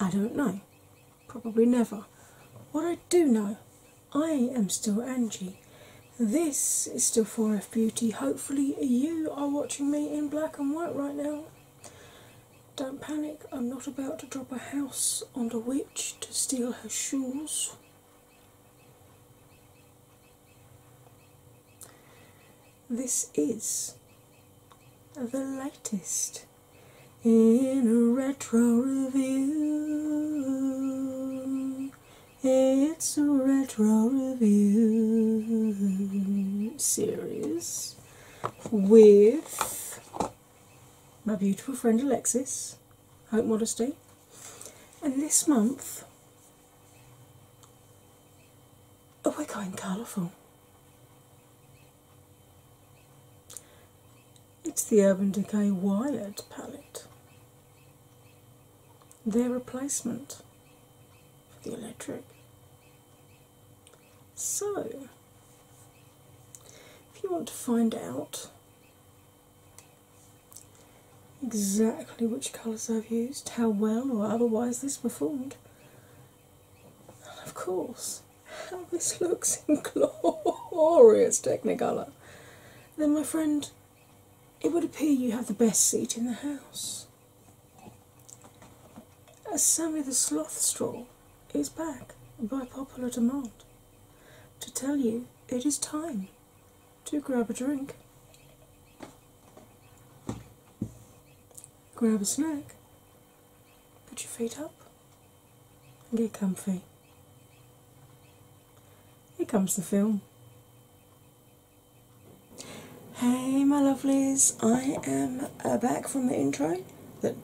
I don't know. Probably never. What I do know, I am still Angie. This is still 4F Beauty. Hopefully, you are watching me in black and white right now. Don't panic, I'm not about to drop a house on the witch to steal her shoes this is the latest in a retro review. It's a retro review series with my beautiful friend Alexis, Hope Modesty. And this month Oh, we're going colourful. It's the Urban Decay Wired palette, their replacement for the electric. So, if you want to find out exactly which colours I've used, how well or otherwise this performed, and of course, how this looks in glorious Technicolor. Then, my friend, it would appear you have the best seat in the house. As Sammy the Slothstraw is back by popular demand to tell you it is time to grab a drink, grab a snack, Put your feet up and get comfy. Here comes the film. Hey, my lovelies, I am uh, back from the intro that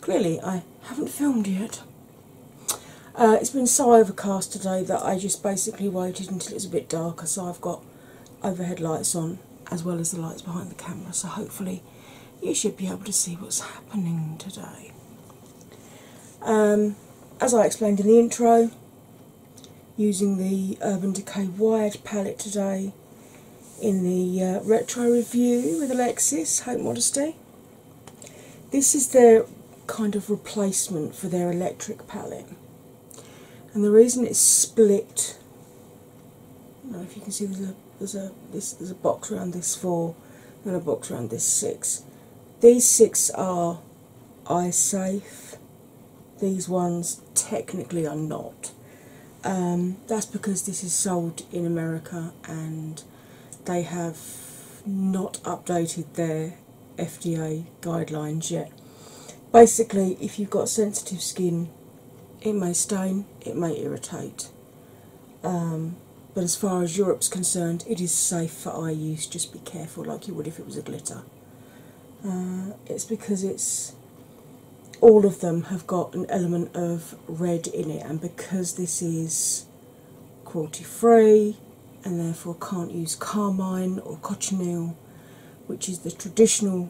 clearly I haven't filmed yet. Uh, it's been so overcast today that I just basically waited until it's a bit darker, so I've got overhead lights on as well as the lights behind the camera, so hopefully you should be able to see what's happening today. Um, as I explained in the intro, using the Urban Decay Wired palette today in the uh, retro review with Alexis, Hope Modesty. This is their kind of replacement for their electric palette, and the reason it's split if you can see there's a there's a box around this four and a box around this six. These six are eye safe. These ones technically are not. Um, that's because this is sold in America and they have not updated their FDA guidelines yet. Basically, if you've got sensitive skin it may stain, it may irritate. Um, but as far as Europe's concerned, it is safe for eye use. Just be careful, like you would if it was a glitter. Uh, it's because it's all of them have got an element of red in it, and because this is cruelty free and therefore can't use carmine or cochineal, which is the traditional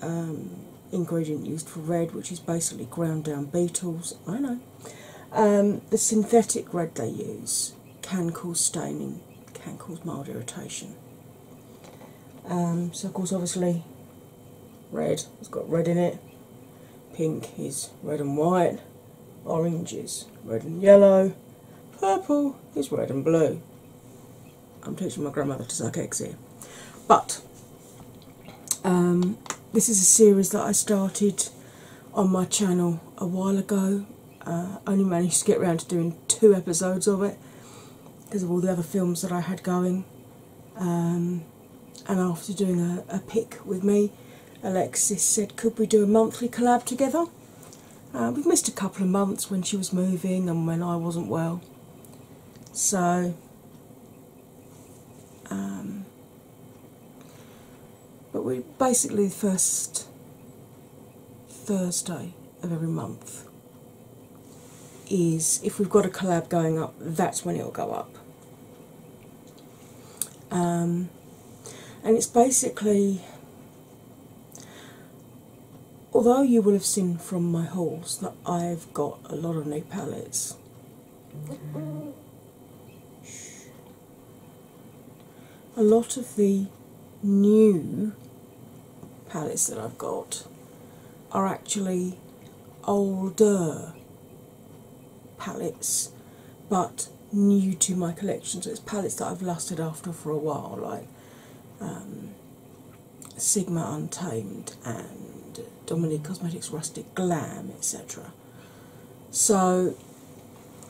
um, ingredient used for red, which is basically ground down beetles. I know. Um, the synthetic red they use can cause staining, can cause mild irritation. Um, so, of course, obviously, red has got red in it, pink is red and white, orange is red and yellow, purple is red and blue. I'm teaching my grandmother to suck eggs here. But um, this is a series that I started on my channel a while ago. Uh, only managed to get around to doing two episodes of it because of all the other films that I had going. Um, and after doing a, pick with me, Alexis said, Could we do a monthly collab together? Uh, we've missed a couple of months when she was moving and when I wasn't well. So um, but we basically the first Thursday of every month is if we've got a collab going up, that's when it'll go up. Um, and it's basically although you will have seen from my hauls that I've got a lot of new palettes, a lot of the new palettes that I've got are actually older palettes but new to my collection. So it's palettes that I've lusted after for a while, like um, Sigma Untamed and Dominique Cosmetics Rustic Glam, etc. So,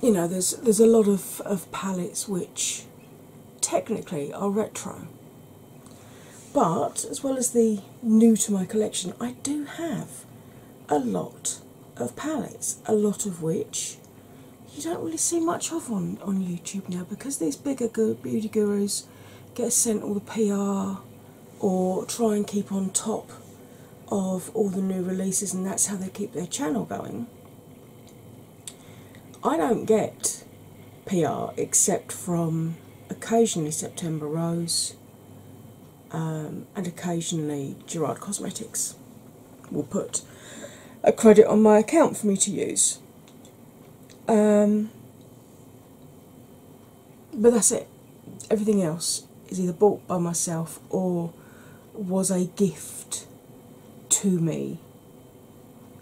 you know, there's there's a lot of, of palettes which technically are retro. But as well as the new to my collection, I do have a lot of palettes, a lot of which you don't really see much of on, on YouTube now because these bigger beauty gurus get sent all the PR or try and keep on top of all the new releases, and that's how they keep their channel going. I don't get PR except from occasionally September Rose um, and occasionally Gerard Cosmetics will put a credit on my account for me to use. Um, but that's it. Everything else is either bought by myself or was a gift to me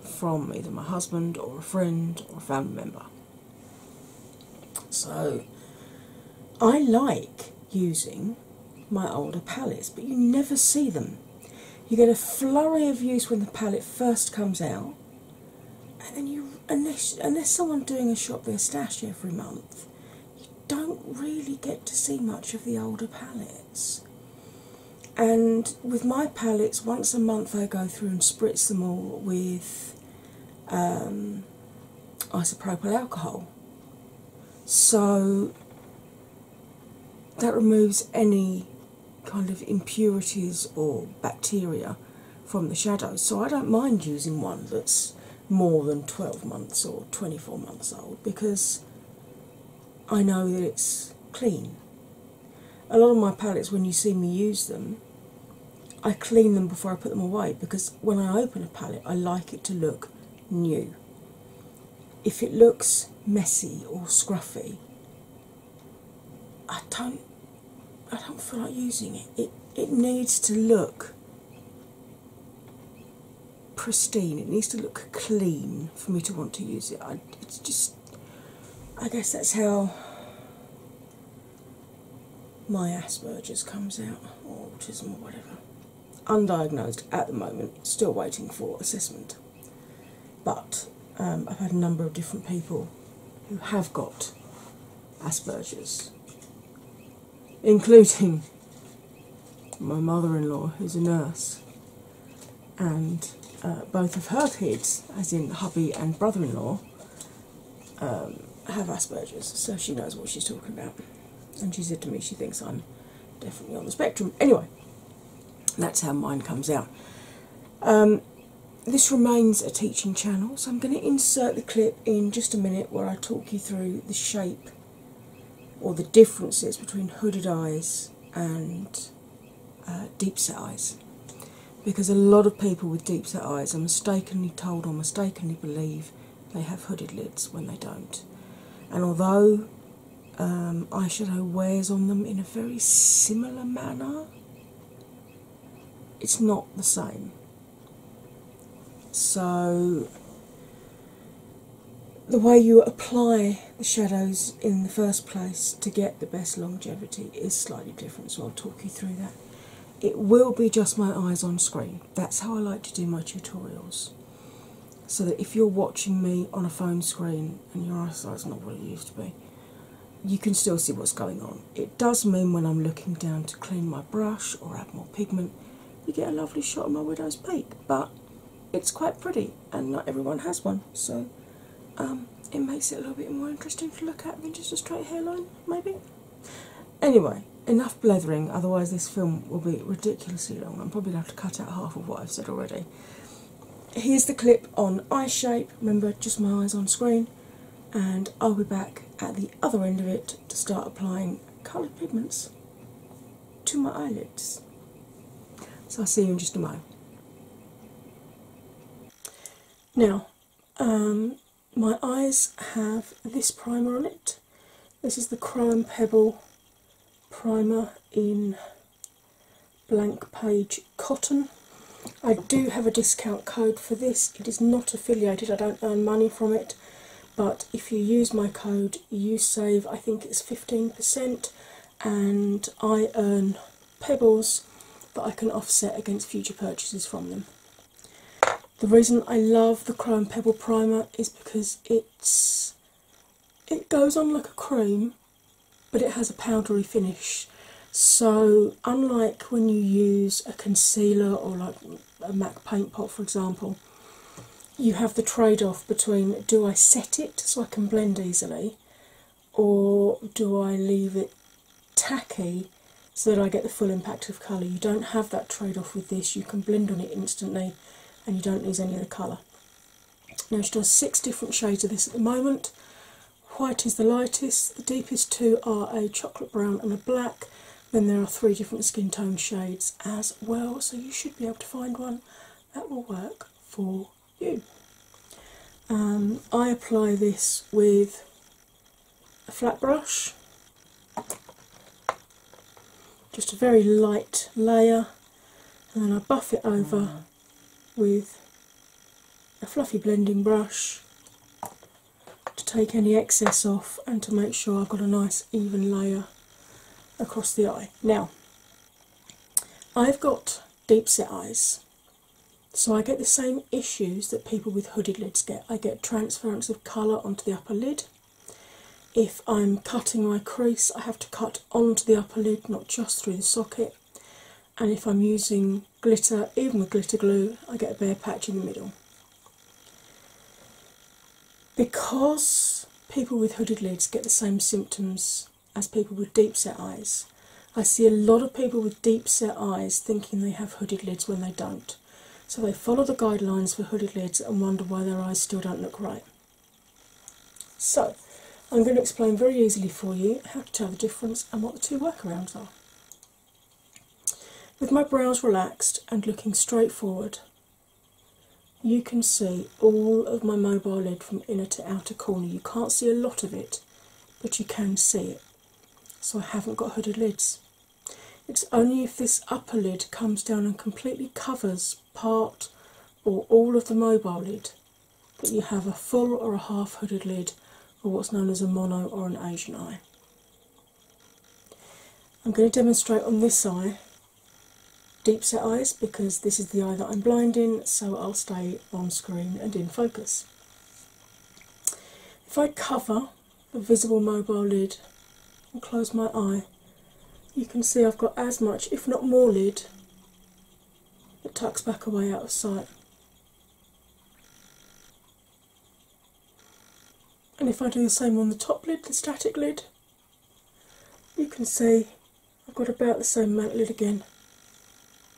from either my husband or a friend or a family member. So I like using my older palettes, but you never see them. You get a flurry of use when the palette first comes out, and you unless unless someone's doing a shop their stash every month, you don't really get to see much of the older palettes. And with my palettes, once a month I go through and spritz them all with um, isopropyl alcohol. So that removes any kind of impurities or bacteria from the shadows. So I don't mind using one that's more than 12 months or 24 months old because I know that it's clean. A lot of my palettes, when you see me use them, I clean them before I put them away because when I open a palette, I like it to look new. If it looks messy or scruffy, I don't I don't feel like using it. It it needs to look pristine. It needs to look clean for me to want to use it. I, it's just I guess that's how my Asperger's comes out or autism or whatever. Undiagnosed at the moment, still waiting for assessment but um, I've had a number of different people who have got Asperger's, including my mother in law, who's a nurse, and uh, both of her kids, as in hubby and brother in law, um, have Asperger's, so she knows what she's talking about. And she said to me, she thinks I'm definitely on the spectrum. Anyway, that's how mine comes out. Um, this remains a teaching channel, so I'm going to insert the clip in just a minute where I talk you through the shape or the differences between hooded eyes and uh, deep set eyes. Because a lot of people with deep set eyes are mistakenly told or mistakenly believe they have hooded lids when they don't. And although um, eyeshadow wears on them in a very similar manner, it's not the same. So, the way you apply the shadows in the first place to get the best longevity is slightly different, so I'll talk you through that. It will be just my eyes on screen. That's how I like to do my tutorials. So that if you're watching me on a phone screen and your eyesight's not what it used to be, you can still see what's going on. It does mean when I'm looking down to clean my brush or add more pigment, you get a lovely shot of my widow's peak, but it's quite pretty and not everyone has one, so um, it makes it a little bit more interesting to look at than just a straight hairline, maybe. Anyway, enough blethering, otherwise, this film will be ridiculously long. I'm probably going to have to cut out half of what I've said already. Here's the clip on eye shape. Remember, just my eyes on screen and I'll be back at the other end of it to start applying coloured pigments to my eyelids. So I'll see you in just a moment. Now, um, my eyes have this primer on it. This is the Crime Pebble primer in blank page cotton. I do have a discount code for this. It is not affiliated, I don't earn money from it. But if you use my code, you save, I think it's 15%, and I earn pebbles that I can offset against future purchases from them. The reason I love the Chrome Pebble Primer is because it's it goes on like a cream but it has a powdery finish. So, unlike when you use a concealer or like a MAC paint pot, for example, you have the trade off between do I set it so I can blend easily, or do I leave it tacky so that I get the full impact of colour? You don't have that trade off with this, you can blend on it instantly and you don't lose any of the colour. Now, she does six different shades of this at the moment. White is the lightest, the deepest two are a chocolate brown and a black. Then there are three different skin tone shades as well, so you should be able to find one that will work for you. Um, I apply this with a flat brush, just a very light layer, and then I buff it over mm. with a fluffy blending brush to take any excess off and to make sure I've got a nice even layer across the eye. Now, I've got deep set eyes, so I get the same issues that people with hooded lids get. I get transference of colour onto the upper lid. If I'm cutting my crease, I have to cut onto the upper lid, not just through the socket. And if I'm using glitter, even with glitter glue, I get a bare patch in the middle. Because people with hooded lids get the same symptoms as people with deep set eyes, I see a lot of people with deep set eyes thinking they have hooded lids when they don't. So they follow the guidelines for hooded lids and wonder why their eyes still don't look right. So, I'm going to explain very easily for you how to tell the difference and what the two workarounds are. With my brows relaxed and looking straight forward, you can see all of my mobile lid from inner to outer corner. You can't see a lot of it, but you can see it. So I haven't got hooded lids. It's only if this upper lid comes down and completely covers part or all of the mobile lid that you have a full or a half hooded lid or what's known as a mono or an Asian eye. I'm going to demonstrate on this eye deep set eyes because this is the eye that I'm blind in, so I'll stay on screen and in focus. If I cover the visible mobile lid and close my eye, you can see I've got as much, if not more, lid that tucks back away out of sight. And if I do the same on the top lid, the static lid, you can see I've got about the same mount lid again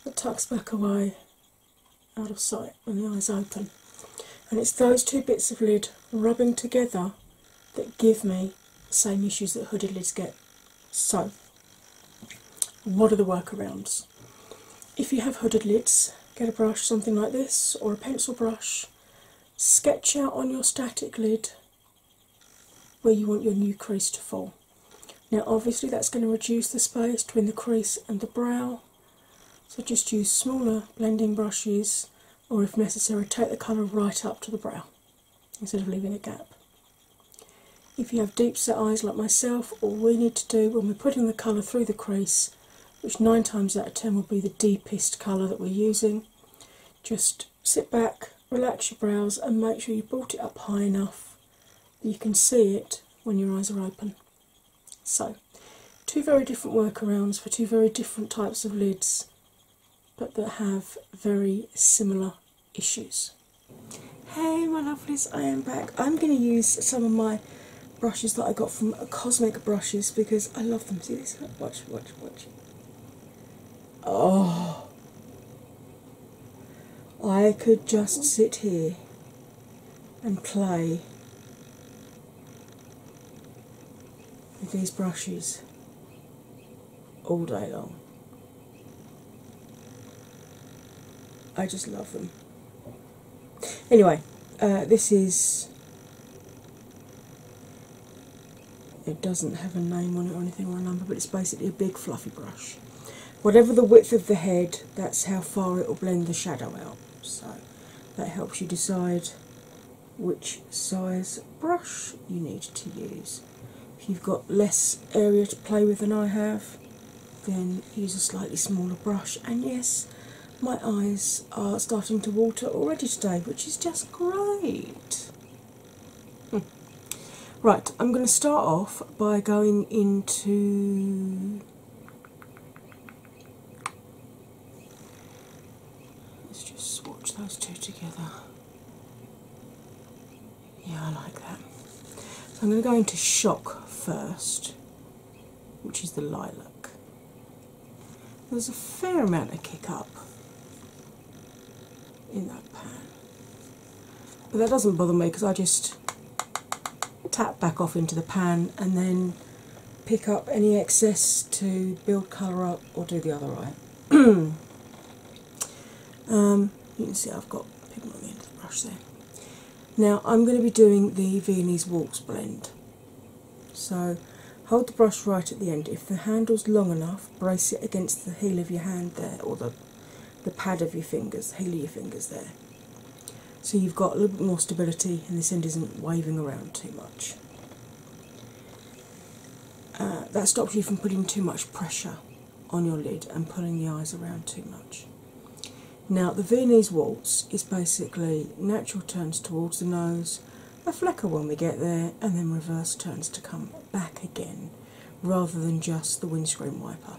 that tucks back away out of sight when the eyes open. And it's those two bits of lid rubbing together that give me the same issues that hooded lids get. So, what are the workarounds? If you have hooded lids, get a brush, something like this, or a pencil brush, sketch out on your static lid where you want your new crease to fall. Now, obviously, that's going to reduce the space between the crease and the brow, so just use smaller blending brushes, or if necessary, take the colour right up to the brow instead of leaving a gap. If you have deep set eyes like myself, all we need to do when we're putting the colour through the crease, which nine times out of ten will be the deepest colour that we're using, just sit back, relax your brows, and make sure you brought it up high enough that you can see it when your eyes are open. So, two very different workarounds for two very different types of lids, but that have very similar issues. Hey my lovelies, I am back. I'm going to use some of my brushes that I got from Cosmic Brushes because I love them. See this? Watch, watch, watch. Oh, I could just sit here and play with these brushes all day long. I just love them. Anyway, uh, this is. It doesn't have a name on it or anything or a number, but it's basically a big fluffy brush. Whatever the width of the head, that's how far it will blend the shadow out. So that helps you decide which size brush you need to use. If you've got less area to play with than I have, then use a slightly smaller brush. And yes, my eyes are starting to water already today, which is just great. Hmm. Right, I'm going to start off by going into. Let's just swatch those two together. Yeah, I like that. I'm going to go into shock first which is the lilac. There's a fair amount of kick up in that pan, but that doesn't bother me because I just tap back off into the pan and then pick up any excess to build colour up or do the other eye. Um, you can see I've got pigment on the end of the brush there. Now I'm going to be doing the Viennese walks blend. So hold the brush right at the end. If the handle's long enough, brace it against the heel of your hand there, or the, the pad of your fingers, heel of your fingers there. So you've got a little bit more stability and this end isn't waving around too much. Uh, that stops you from putting too much pressure on your lid and pulling the eyes around too much. Now, the Viennese waltz is basically natural turns towards the nose, a flecker when we get there, and then reverse turns to come back again rather than just the windscreen wiper.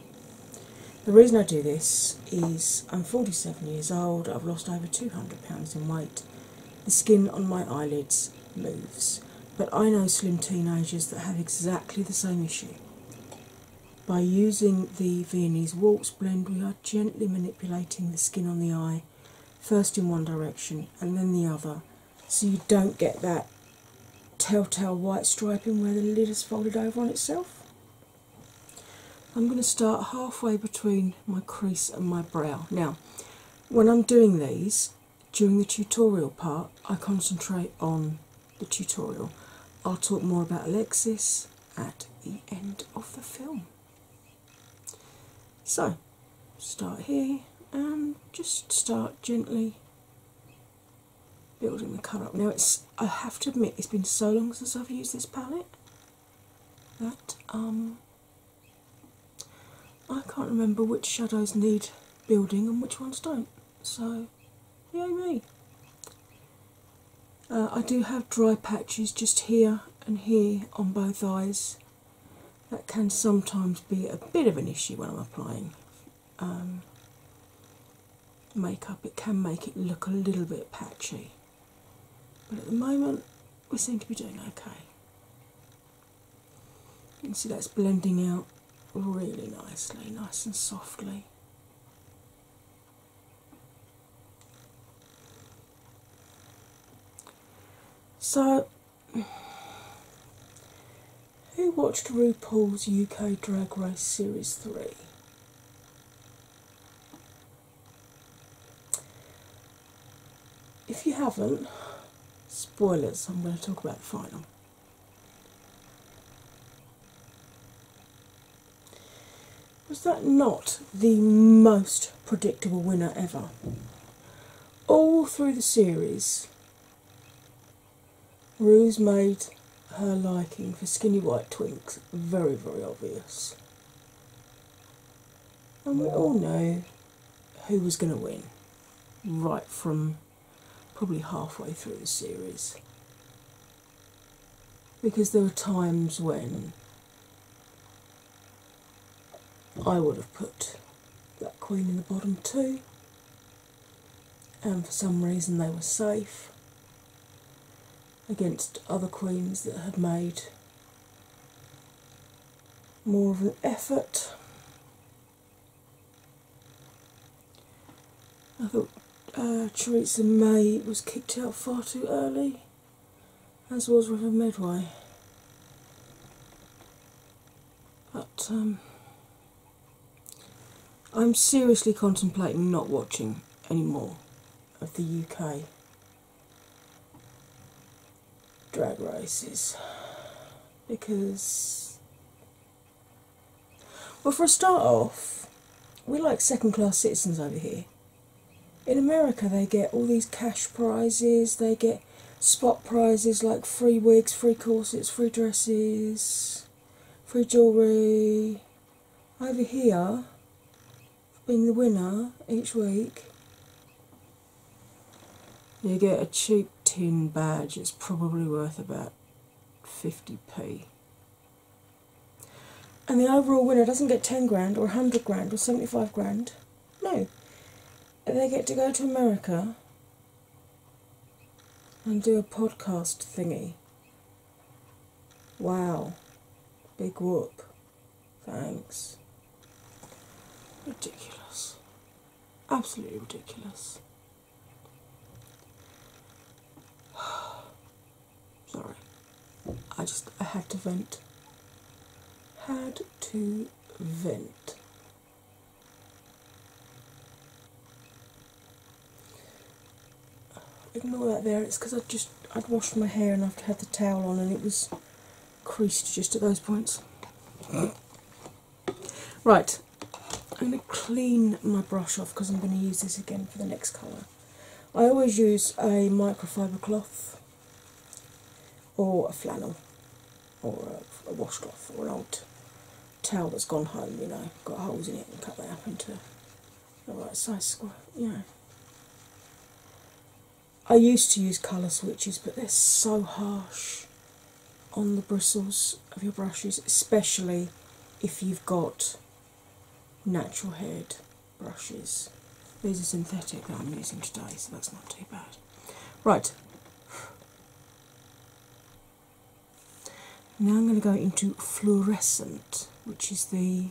The reason I do this is I'm 47 years old, I've lost over 200 pounds in weight, the skin on my eyelids moves, but I know slim teenagers that have exactly the same issue. By using the Viennese Waltz blend, we are gently manipulating the skin on the eye, first in one direction and then the other, so you don't get that telltale white striping where the lid is folded over on itself. I'm going to start halfway between my crease and my brow. Now, when I'm doing these during the tutorial part, I concentrate on the tutorial. I'll talk more about Alexis at the end of the film. So, start here and just start gently building the cut up. Now, it's I have to admit, it's been so long since I've used this palette that um, I can't remember which shadows need building and which ones don't. So yeah me. Uh, I do have dry patches just here and here on both eyes. That can sometimes be a bit of an issue when I'm applying um, makeup. It can make it look a little bit patchy. But at the moment, we seem to be doing okay. You can see that's blending out really nicely, nice and softly. So, who watched RuPaul's UK Drag Race Series 3? If you haven't, spoilers, I'm going to talk about the final. Was that not the most predictable winner ever? All through the series, Ruse made her liking for skinny white twinks very, very obvious. And we all know who was going to win right from probably halfway through the series because there were times when I would have put that queen in the bottom too, and for some reason they were safe against other queens that had made more of an effort. I thought uh, May was kicked out far too early, as was River Medway. But um, I'm seriously contemplating not watching any more of the UK drag races because, well, for a start off, we're like second class citizens over here. In America, they get all these cash prizes, they get spot prizes like free wigs, free corsets, free dresses, free jewellery. Over here, being the winner each week, you get a cheap tin badge, it's probably worth about 50p. And the overall winner doesn't get 10 grand or 100 grand or 75 grand. No. They get to go to America and do a podcast thingy. Wow. Big whoop. Thanks. Ridiculous. Absolutely ridiculous. Sorry. I just I had to vent. Had to vent. Ignore that there, it's because I just I'd washed my hair and I'd had the towel on and it was creased just at those points. Right, I'm going to clean my brush off because I'm going to use this again for the next colour. I always use a microfiber cloth or a flannel or a, washcloth or an old towel that's gone home, you know, got holes in it and cut that up into the right size square, you know. I used to use colour switches, but they're so harsh on the bristles of your brushes, especially if you've got natural hair brushes. These are synthetic that I'm using today, so that's not too bad. Right. Now I'm going to go into fluorescent, which is the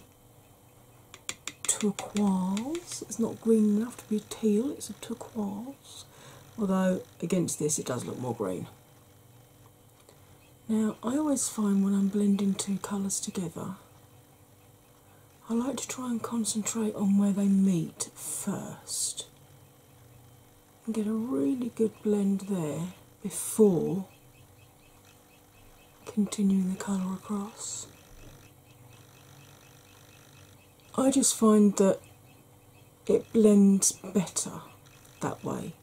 turquoise. It's not green enough to be teal, it's a turquoise. Although against this it does look more green. Now, I always find when I'm blending two colours together, I like to try and concentrate on where they meet first and get a really good blend there before continuing the colour across. I just find that it blends better that way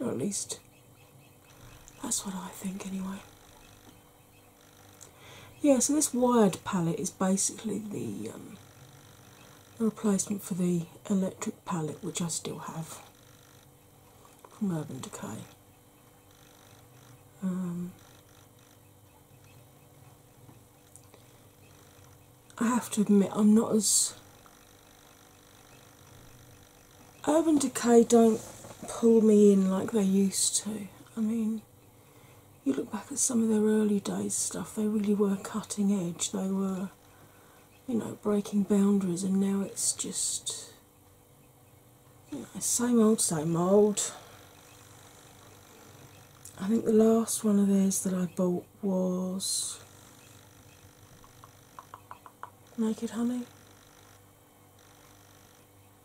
at least that's what I think, anyway. Yeah, so this wired palette is basically um, the, replacement for the electric palette, which I still have from Urban Decay. Um, I have to admit, I'm not as. Urban Decay don't pull me in like they used to. I mean, you look back at some of their early days stuff, they really were cutting edge. They were, you know, breaking boundaries, and now it's just. same old, same old. I think the last one of theirs that I bought was Naked Honey.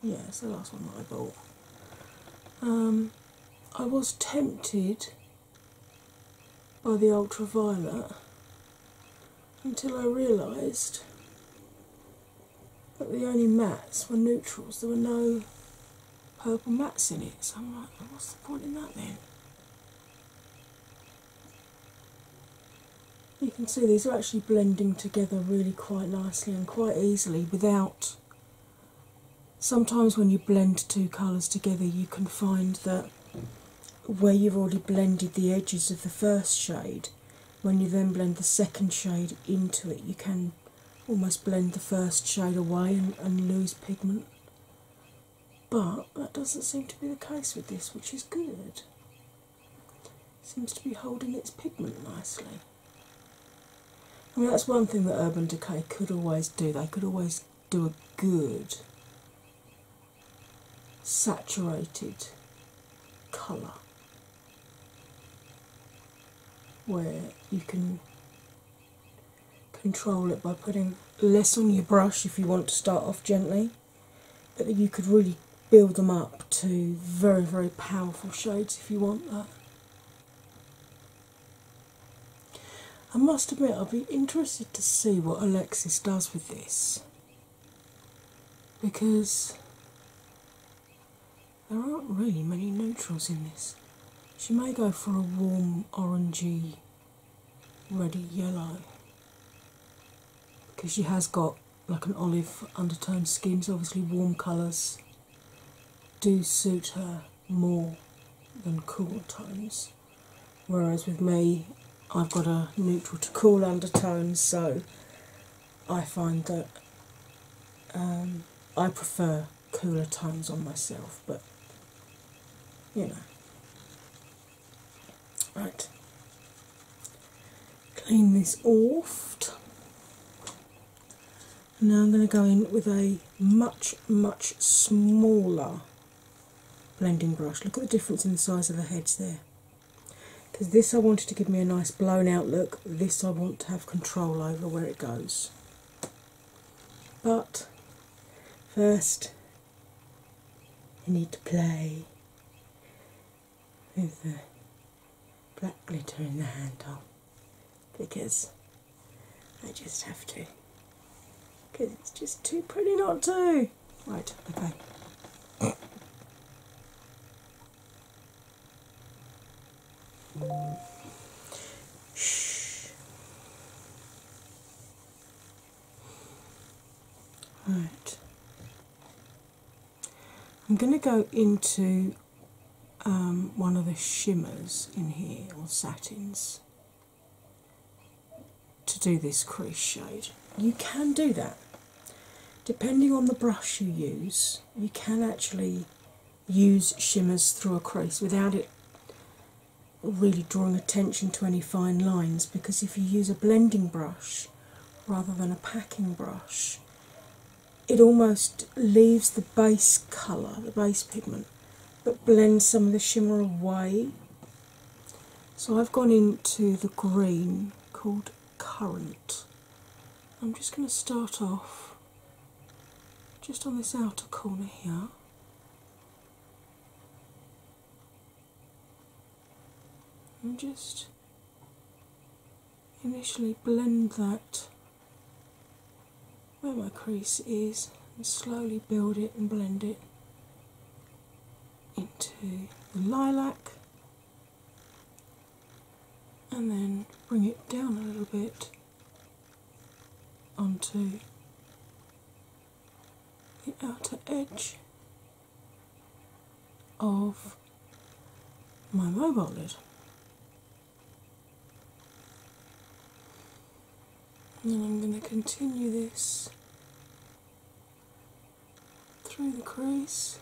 Yes, it's the last one that I bought. Um, I was tempted by the ultraviolet until I realised that the only mats were neutrals. There were no purple mats in it. So I'm like, what's the point in that then? You can see these are actually blending together really quite nicely and quite easily without. Sometimes when you blend two colours together, you can find that where you've already blended the edges of the first shade, when you then blend the second shade into it, you can almost blend the first shade away and lose pigment but that doesn't seem to be the case with this, which is good. Seems to be holding its pigment nicely. I mean, that's one thing that Urban Decay could always do. They could always do a good saturated colour where you can control it by putting less on your brush if you want to start off gently, but you could really build them up to very, very powerful shades if you want that. I must admit, I'll be interested to see what Alexis does with this because there aren't really many neutrals in this. She may go for a warm orangey reddy yellow because she has got like an olive undertone Schemes obviously warm colours do suit her more than cool tones. Whereas with me, I've got a neutral to cool undertone, so I find that um, I prefer cooler tones on myself, but you know. Right, clean this off. Now I'm going to go in with a much, much smaller blending brush. Look at the difference in the size of the heads there. Because this I wanted to give me a nice blown out look, this I want to have control over where it goes. But first, I need to play with the black glitter in the handle because I just have to. Because it's just too pretty not to. Right, okay. Shh. Right. I'm going to go into um, one of the shimmers in here, or satins, to do this crease shade. You can do that. Depending on the brush you use, you can actually use shimmers through a crease without it really drawing attention to any fine lines because if you use a blending brush rather than a packing brush, it almost leaves the base colour, the base pigment, but blends some of the shimmer away. So I've gone into the green called Current. I'm just going to start off just on this outer corner here i and just initially blend that where my crease is and slowly build it and blend it into the lilac and then bring it down a little bit onto the outer edge of my mobile lid. And I'm going to continue this through the crease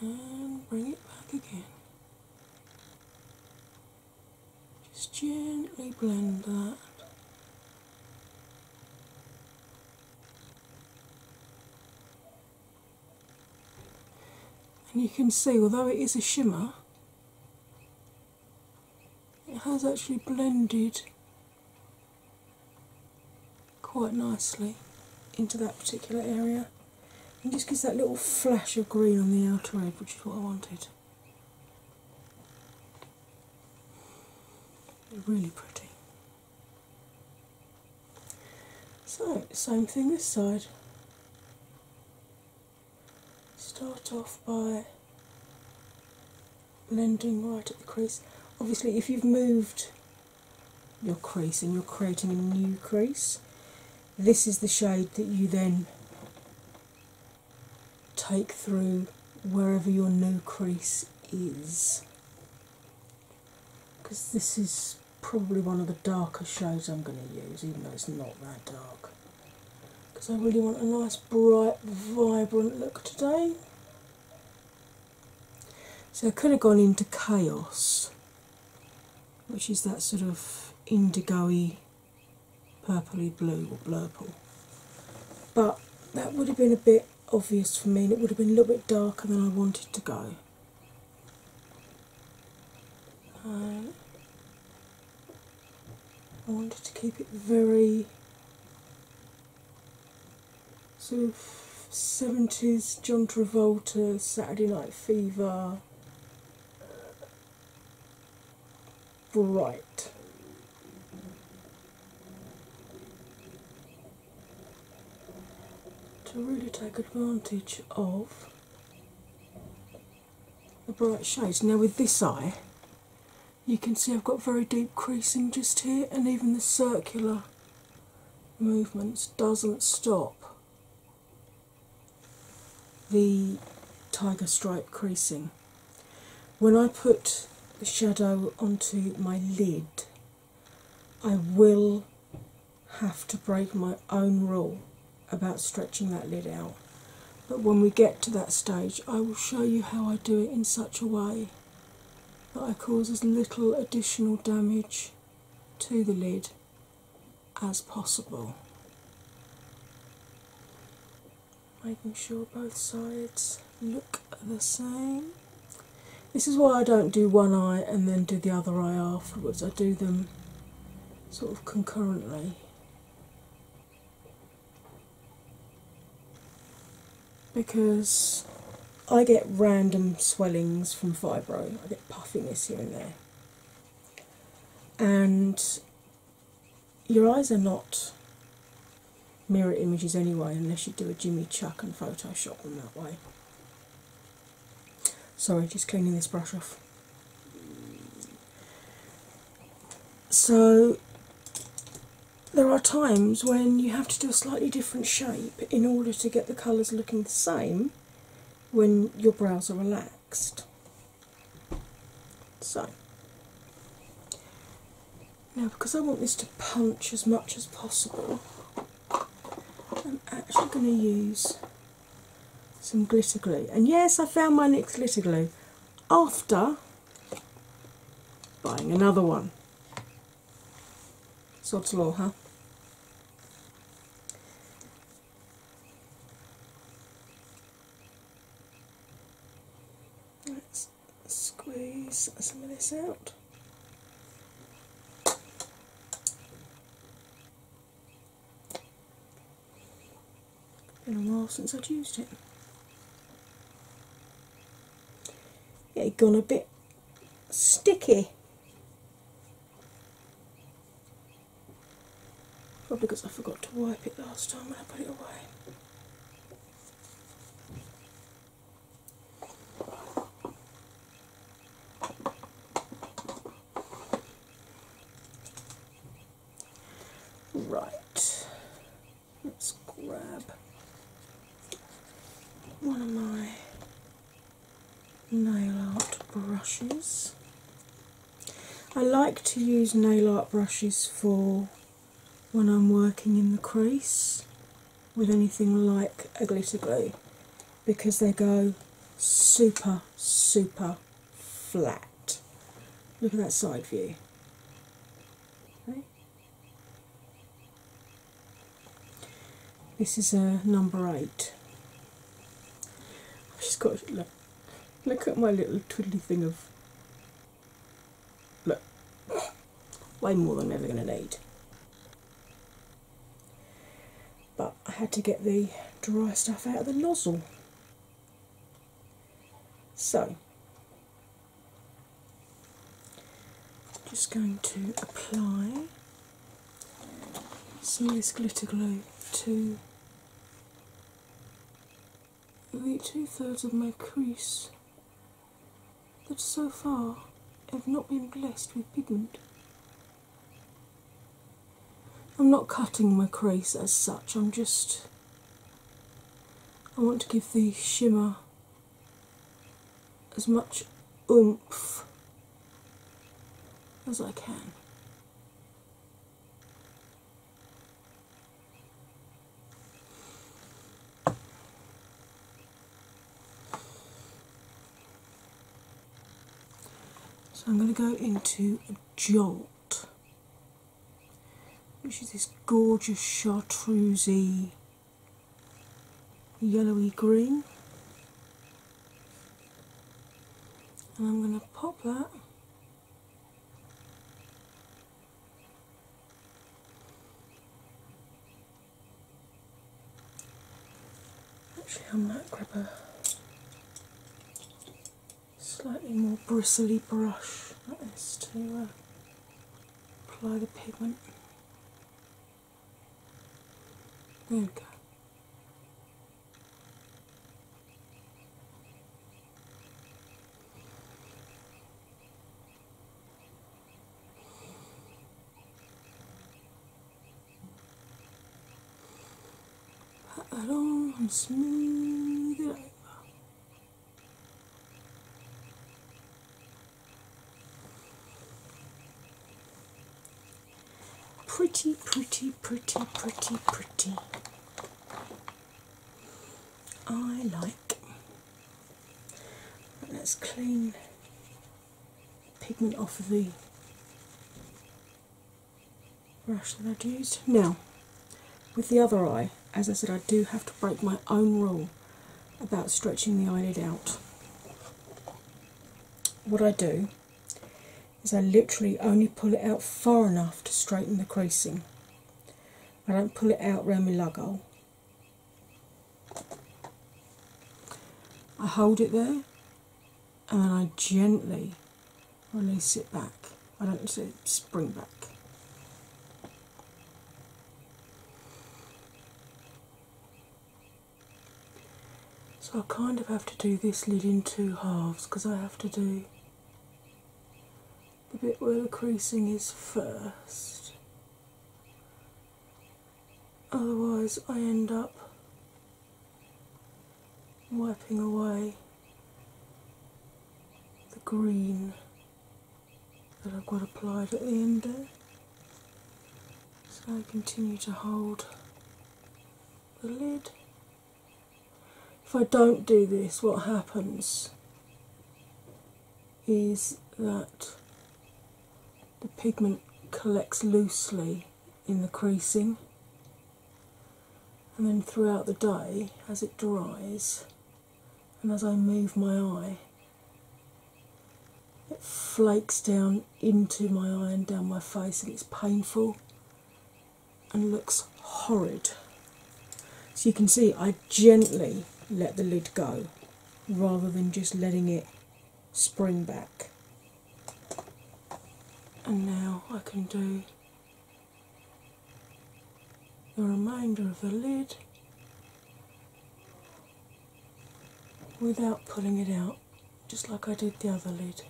and bring it back again. Just gently blend that. And you can see, although it is a shimmer, it has actually blended quite nicely into that particular area and just gives that little flash of green on the outer edge, which is what I wanted. really pretty. So, same thing this side. Start off by blending right at the crease. Obviously, if you've moved your crease and you're creating a new crease, this is the shade that you then take through wherever your new crease is. Because this is probably one of the darker shades I'm going to use, even though it's not that dark. Because I really want a nice, bright, vibrant look today. So I could have gone into Chaos, which is that sort of indigo purpley blue or blurple. But that would have been a bit obvious for me and it would have been a little bit darker than I wanted to go. Uh, I wanted to keep it very sort of 70s John Travolta, Saturday Night Fever bright. To really take advantage of the bright shades. Now, with this eye, you can see I've got very deep creasing just here, and even the circular movements doesn't stop the tiger stripe creasing. When I put the shadow onto my lid, I will have to break my own rule about stretching that lid out. But when we get to that stage, I will show you how I do it in such a way that I cause as little additional damage to the lid as possible. Making sure both sides look the same. This is why I don't do one eye and then do the other eye afterwards, I do them sort of concurrently. Because I get random swellings from fibro, I get puffiness here and there and your eyes are not mirror images anyway, unless you do a Jimmy Chuck and Photoshop them that way. Sorry, just cleaning this brush off. So, there are times when you have to do a slightly different shape in order to get the colours looking the same when your brows are relaxed. So, now because I want this to punch as much as possible, I'm actually going to use some glitter glue. And yes, I found my next glitter glue after buying another one. Sod's law, huh? Let's squeeze some of this out. Been a while since I'd used it. it it gone a bit sticky. Probably because I forgot to wipe it last time when I put it away. Right, let's grab one of my nail art brushes. I like to use nail art brushes for when I'm working in the crease with anything like a glitter glue because they go super, super flat. Look at that side view. This is a uh, number eight. I've just got Look at my little twiddly thing of. Look, way more than I'm ever going to need. But I had to get the dry stuff out of the nozzle. So, just going to apply some of this glitter glue to the two thirds of my crease that so far have not been blessed with pigment. I'm not cutting my crease as such, I'm just. I want to give the shimmer as much oomph as I can. So I'm going to go into a Jolt, which is this gorgeous chartreusey yellowy green. And I'm going to pop that Actually, I might grab a slightly more bristly brush like this to uh, apply the pigment. There we go pat that on smooth it Pretty, pretty, pretty, pretty, pretty. I like. let's clean pigment off the brush that I'd used. Now, with the other eye, as I said, I do have to break my own rule about stretching the eyelid out. What I do is I literally only pull it out far enough to straighten the creasing. I don't pull it out round my lug I hold it there and then I gently release it back. I don't say spring back. So I kind of have to do this lid in two halves because I have to do the bit where the creasing is first. Otherwise, I end up wiping away the green that I've got applied at the end there. So I continue to hold the lid if I don't do this, what happens is that the pigment collects loosely in the creasing, and then throughout the day, as it dries and as I move my eye, it flakes down into my eye and down my face, and it's painful and looks horrid. So you can see I gently let the lid go rather than just letting it spring back. And now I can do the remainder of the lid without pulling it out, just like I did the other lid.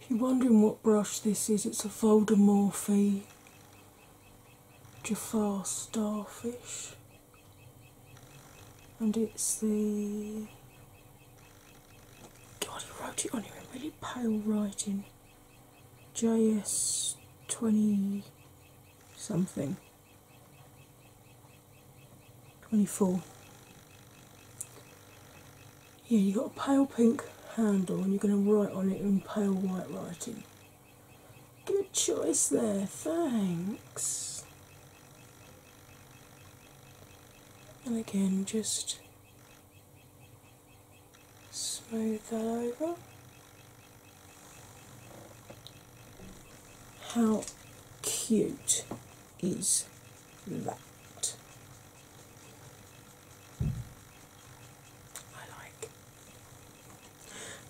If you're wondering what brush this is, it's a Voldemorphy Jafar Starfish, and it's the God, he wrote it on here in really pale writing. JS twenty something. 24. Yeah, you've got a pale pink handle and you're going to write on it in pale white writing. Good choice there, thanks. And again, just smooth that over. How cute is that? I like.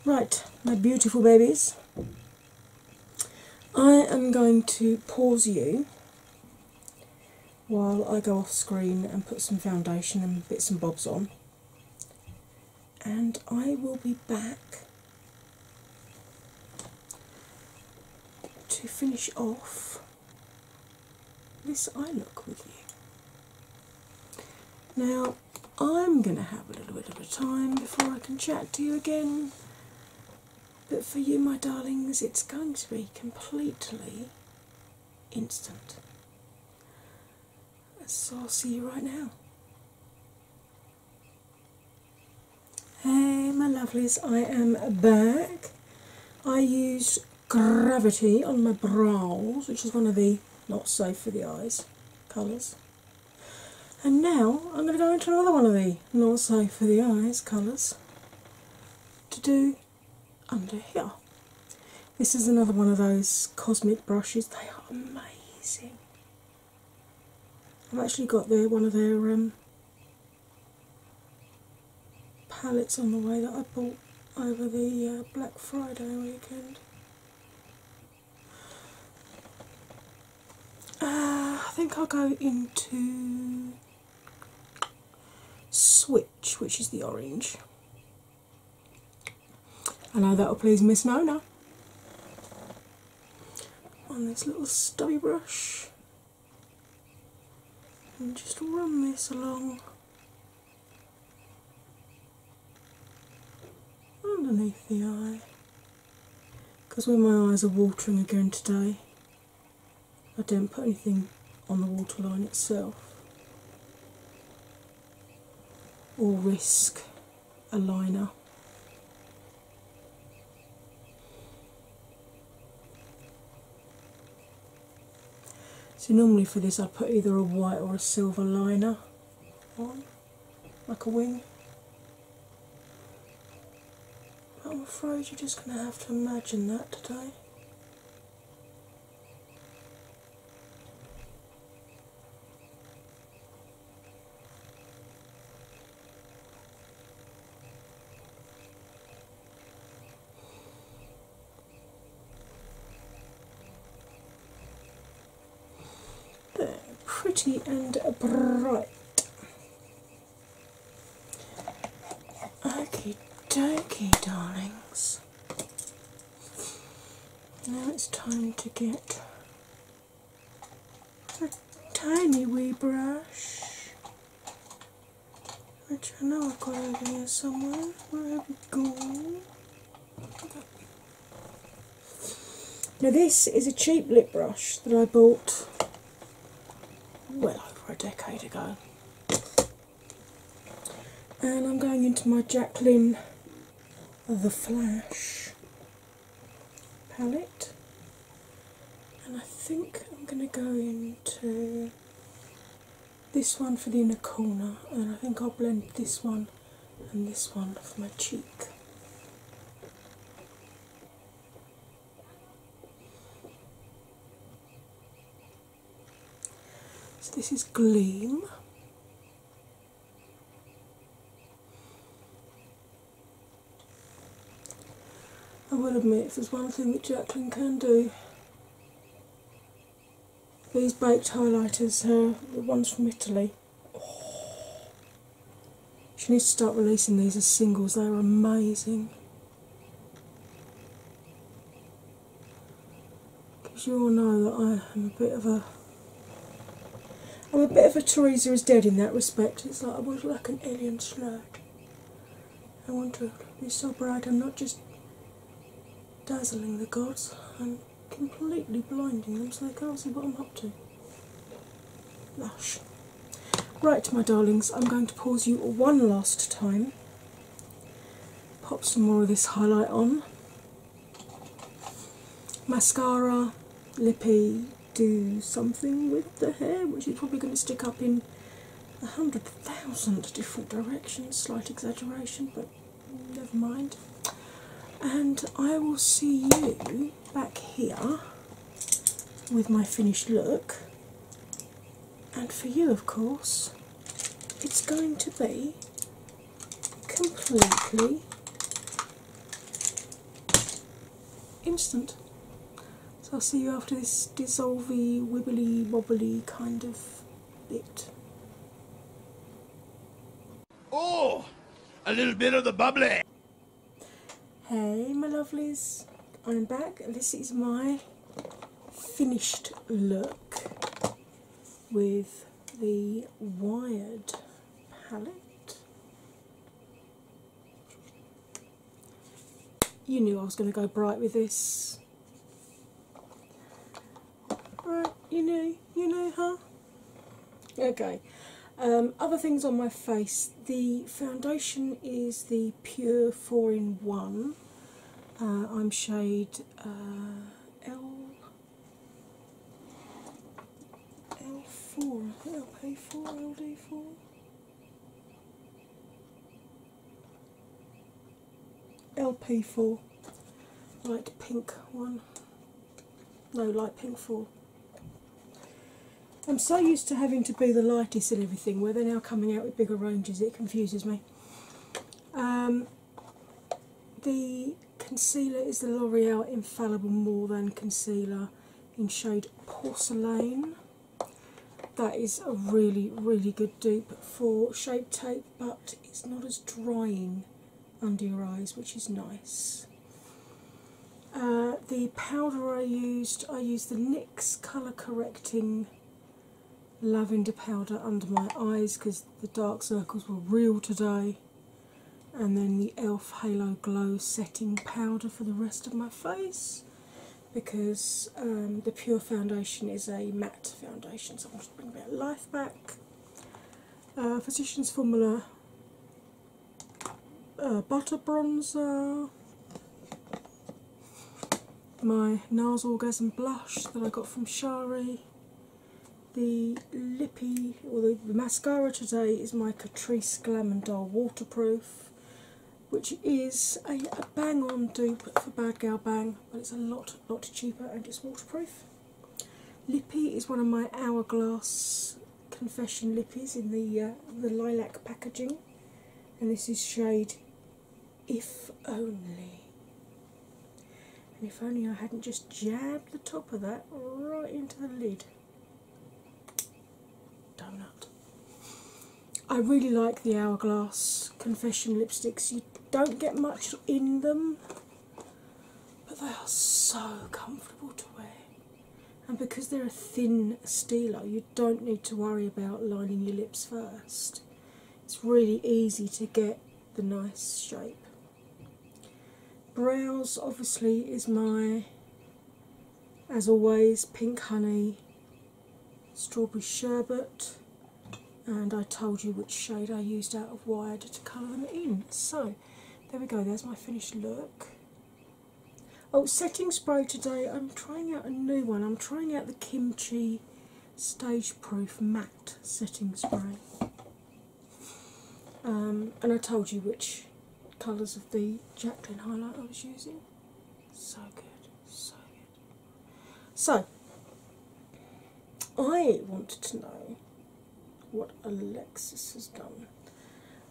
Right, my beautiful babies, I am going to pause you while I go off screen and put some foundation and bits and bobs on and I will be back to finish off this eye look with you. Now, I'm going to have a little bit of a time before I can chat to you again, but for you, my darlings, it's going to be completely instant. So I'll see you right now. Hey, my lovelies, I am back. I use Gravity on my brows, which is one of the not safe for the eyes colours. And now I'm going to go into another one of the not safe for the eyes colours to do under here. This is another one of those cosmic brushes. They are amazing. I've actually got their one of their um, palettes on the way that I bought over the uh, Black Friday weekend. Uh, I think I'll go into Switch, which is the orange. I know that'll please Miss Mona. On this little stubby brush, and just run this along underneath the eye. Because when my eyes are watering again today, I do not put anything on the waterline itself or risk a liner. So, normally for this, I put either a white or a silver liner on, like a wing. I'm afraid you're just going to have to imagine that today. They're pretty and bright. Okie dokie, darlings. Now it's time to get a tiny wee brush, which I know I've got over here somewhere. Where have we gone? Now this is a cheap lip brush that I bought well over a decade ago. And I'm going into my Jacqueline the Flash palette, and I think I'm going to go into this one for the inner corner, and I think I'll blend this one and this one for my cheek. So, this is Gleam, I will admit, if there's one thing that Jacqueline can do, these baked highlighters, uh, the ones from Italy, she needs to start releasing these as singles, they are amazing because you all know that I am a bit of a I'm a bit of a Teresa is dead in that respect. It's like I am was like an alien slurred. I want to be so bright I'm not just dazzling the gods, I'm completely blinding them so they can't see what I'm up to. Lush. Right, my darlings, I'm going to pause you one last time. Pop some more of this highlight on mascara, lippy, do something with the hair, which is probably going to stick up in a hundred thousand different directions. Slight exaggeration, but never mind. And I will see you back here with my finished look. And for you, of course, it's going to be completely instant. So I'll see you after this dissolvey, wibbly, wobbly kind of bit. Oh, a little bit of the bubbly. Hey, my lovelies, I'm back. This is my finished look with the wired palette. You knew I was going to go bright with this. Right, you know, you know, huh? Okay. Um, other things on my face. The foundation is the Pure 4 in 1. Uh, I'm shade uh, L L4, I think LP4, LD4. LP4, light pink one. No, light pink 4. I'm so used to having to be the lightest and everything, where they're now coming out with bigger ranges, it confuses me. Um, the concealer is the L'Oreal Infallible More Than Concealer in shade Porcelain. That is a really, really good dupe for Shape Tape, but it's not as drying under your eyes, which is nice. Uh, the powder I used, I used the NYX Colour Correcting Lavender Powder under my eyes because the dark circles were real today and then the elf halo glow setting powder for the rest of my face because um, the pure foundation is a matte foundation so i want to bring a bit of life back uh, physicians formula uh, butter bronzer my nars orgasm blush that i got from shari the lippy or the, mascara today is my Catrice Glamondol Waterproof, which is a, bang on dupe for Bad Girl Bang, but it's a lot, lot cheaper and it's waterproof. Lippy is one of my Hourglass Confession lippies in the uh, the lilac packaging, and this is shade If Only. And if only I hadn't just jabbed the top of that right into the lid. Donut. I really like the Hourglass Confession lipsticks. You don't get much in them, but they are so comfortable to wear. And because they're a thin steeler, you don't need to worry about lining your lips first. It's really easy to get the nice shape. Brows obviously is my, as always, pink honey, strawberry sherbet, and I told you which shade I used out of Wired to colour them in. So there we go, there's my finished look. Oh, setting spray today, I'm trying out a new one. I'm trying out the Kimchi Stage Proof Matte Setting Spray. Um, and I told you which colours of the Jacqueline highlight I was using. So good, so good. So, I wanted to know what Alexis has done.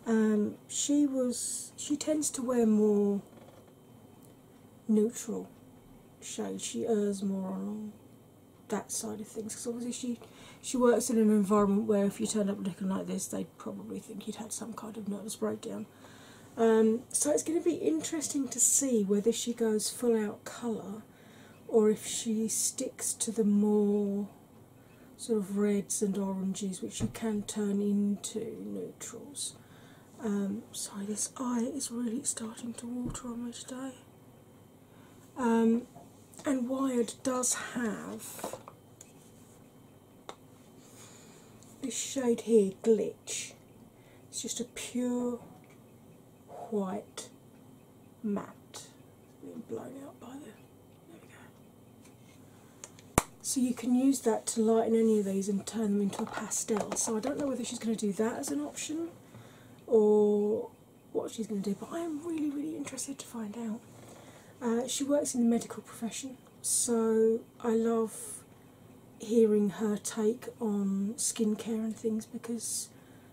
Um, she was she tends to wear more neutral shades. She errs more on that side of things because obviously she she works in an environment where if you turned up looking like this they'd probably think you'd had some kind of nervous breakdown um, so it's going to be interesting to see whether she goes full out colour or if she sticks to the more sort of reds and oranges which you can turn into neutrals um, So this eye is really starting to water on me today um, and Wired does have this shade here, Glitch. It's just a pure white matte. Been blown out by the. So you can use that to lighten any of these and turn them into a pastel. So I don't know whether she's going to do that as an option, or what she's going to do, but I am really, really interested to find out. Uh, she works in the medical profession, so I love hearing her take on skincare and things because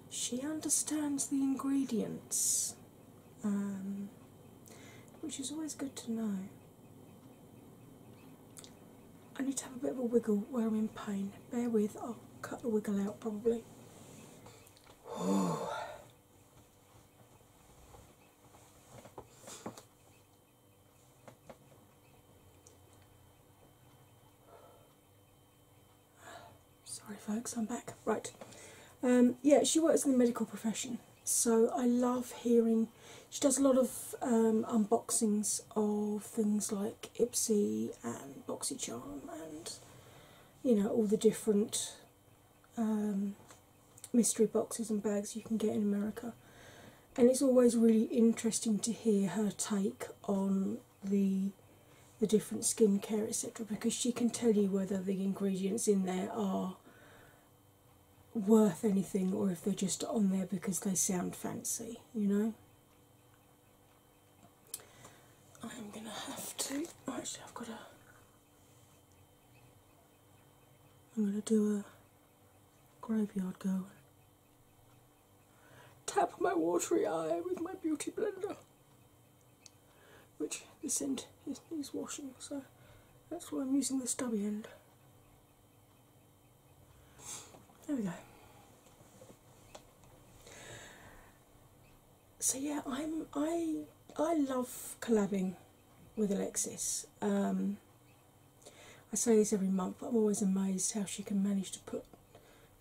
she understands the ingredients, um, which is always good to know. I need to have a bit of a wiggle where I'm in pain. Bear with, I'll cut the wiggle out probably. Sorry, folks, I'm back. Right. Um, yeah, she works in the medical profession, so I love hearing. She does a lot of um, unboxings of things like Ipsy and BoxyCharm and you know all the different um, mystery boxes and bags you can get in America. And it's always really interesting to hear her take on the the different skincare etc. because she can tell you whether the ingredients in there are worth anything or if they're just on there because they sound fancy, you know. I'm gonna have to actually I've got a I'm gonna do a graveyard go tap my watery eye with my beauty blender which this end is, is washing so that's why I'm using the stubby end. There we go so yeah, I'm I I love collabing with Alexis. Um, I say this every month, I'm always amazed how she can manage to put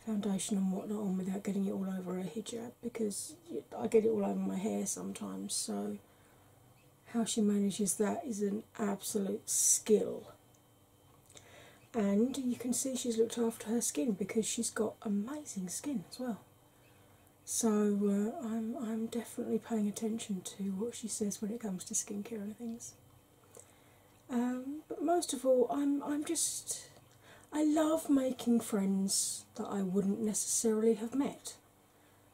foundation and whatnot on without getting it all over her hijab because I get it all over my hair sometimes. So how she manages that is an absolute skill. And you can see she's looked after her skin because she's got amazing skin as well. So uh, I'm definitely paying attention to what she says when it comes to skincare and things. Um, but most of all, I'm I'm just I love making friends that I wouldn't necessarily have met.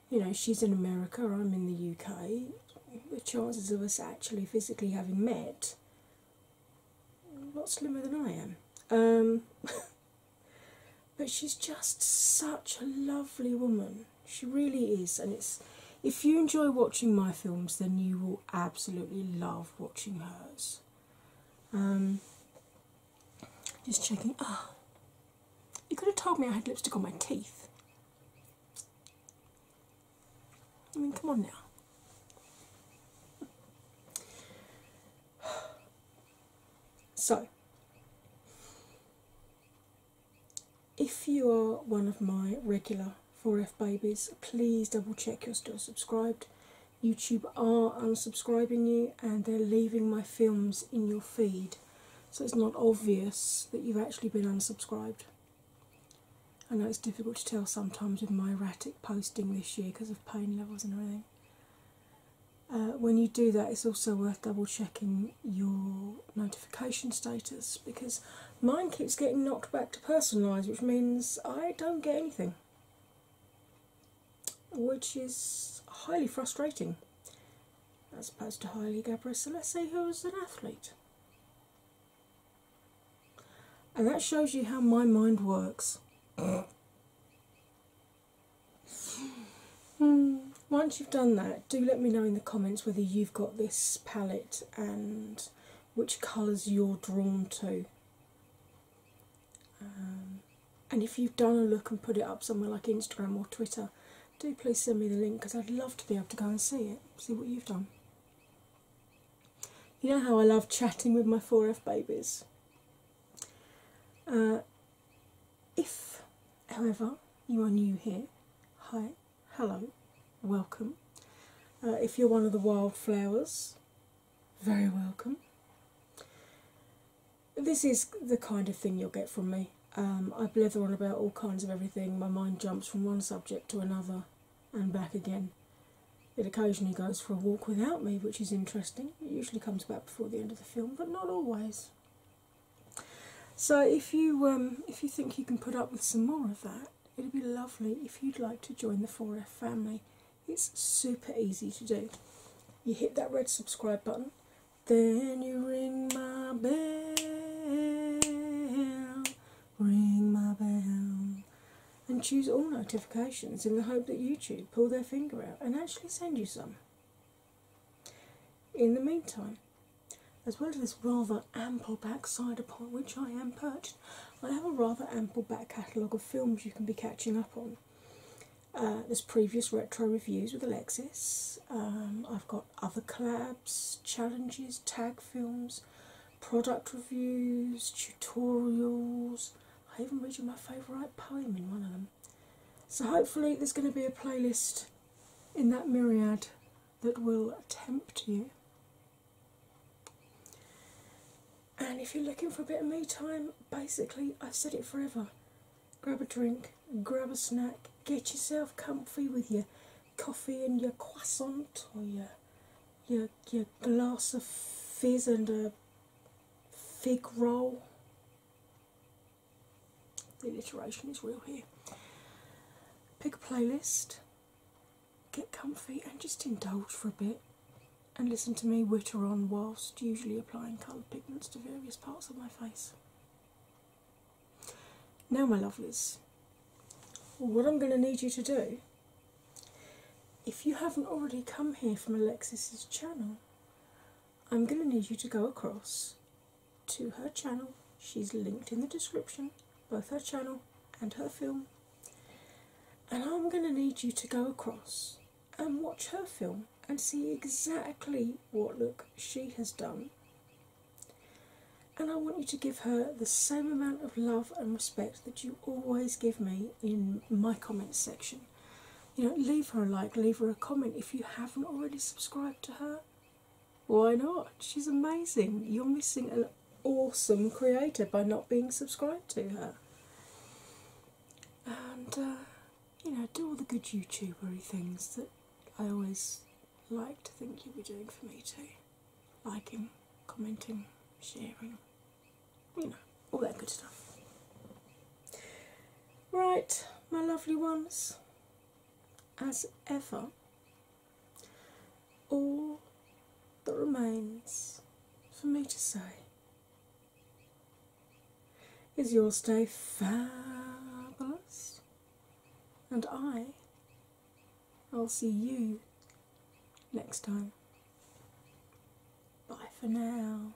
You know, she's in America, I'm in the UK. The chances of us actually physically having met a lot slimmer than I am. Um, but she's just such a lovely woman. She really is, and it's if you enjoy watching my films, then you will absolutely love watching hers. Um, just checking. Ah, you could have told me I had lipstick on my teeth. I mean, come on now. So, if you are one of my regular 4F babies, please double check you're still subscribed. YouTube are unsubscribing you and they're leaving my films in your feed, so it's not obvious that you've actually been unsubscribed. I know it's difficult to tell sometimes with my erratic posting this year because of pain levels and everything. Uh, when you do that, it's also worth double checking your notification status because mine keeps getting knocked back to personalised, which means I don't get anything, which is highly frustrating as opposed to highly gabby. So let's Celeste, who was an athlete. And that shows you how my mind works. Hmm. Once you've done that, do let me know in the comments whether you've got this palette and which colours you're drawn to. Um, and if you've done a look and put it up somewhere like Instagram or Twitter, do please send me the link because I'd love to be able to go and see it, see what you've done. You know how I love chatting with my 4F babies. Uh, if, however, you are new here, hi, hello, welcome. Uh, if you're one of the wildflowers, very welcome. This is the kind of thing you'll get from me. Um, I blether on about all kinds of everything, my mind jumps from one subject to another and back again. It occasionally goes for a walk without me, which is interesting. It usually comes back before the end of the film, but not always. So if you um, if you think you can put up with some more of that, it'd be lovely if you'd like to join the 4F family. It's super easy to do. You hit that red subscribe button, then you ring my bell, ring my bell and choose all notifications in the hope that YouTube pull their finger out and actually send you some. In the meantime, as well as this rather ample backside upon which I am perched, I have a rather ample back catalogue of films you can be catching up on. Uh, there's previous retro reviews with Alexis. Um, I've got other collabs, challenges, tag films, product reviews, tutorials, I even read you my favourite poem in one of them. So, hopefully, there's going to be a playlist in that myriad that will tempt you. And if you're looking for a bit of me time, basically, I've said it forever grab a drink, grab a snack, get yourself comfy with your coffee and your croissant or your, your, your glass of fizz and a fig roll. The alliteration is real here. Pick a playlist, get comfy, and just indulge for a bit and listen to me whitter on whilst usually applying coloured pigments to various parts of my face. Now, my lovelies, what I'm going to need you to do if you haven't already come here from Alexis's channel, I'm going to need you to go across to her channel. She's linked in the description, both her channel and her film. And I'm going to need you to go across and watch her film and see exactly what look she has done. And I want you to give her the same amount of love and respect that you always give me in my comments section. You know, leave her a like, leave her a comment if you haven't already subscribed to her. Why not? She's amazing. You're missing an awesome creator by not being subscribed to her. And, uh, you know, do all the good YouTubery things that I always like to think you'll be doing for me too liking, commenting, sharing you know, all that good stuff. Right, my lovely ones, as ever, all that remains for me to say is your stay fabulous, and I I'll see you next time. Bye for now.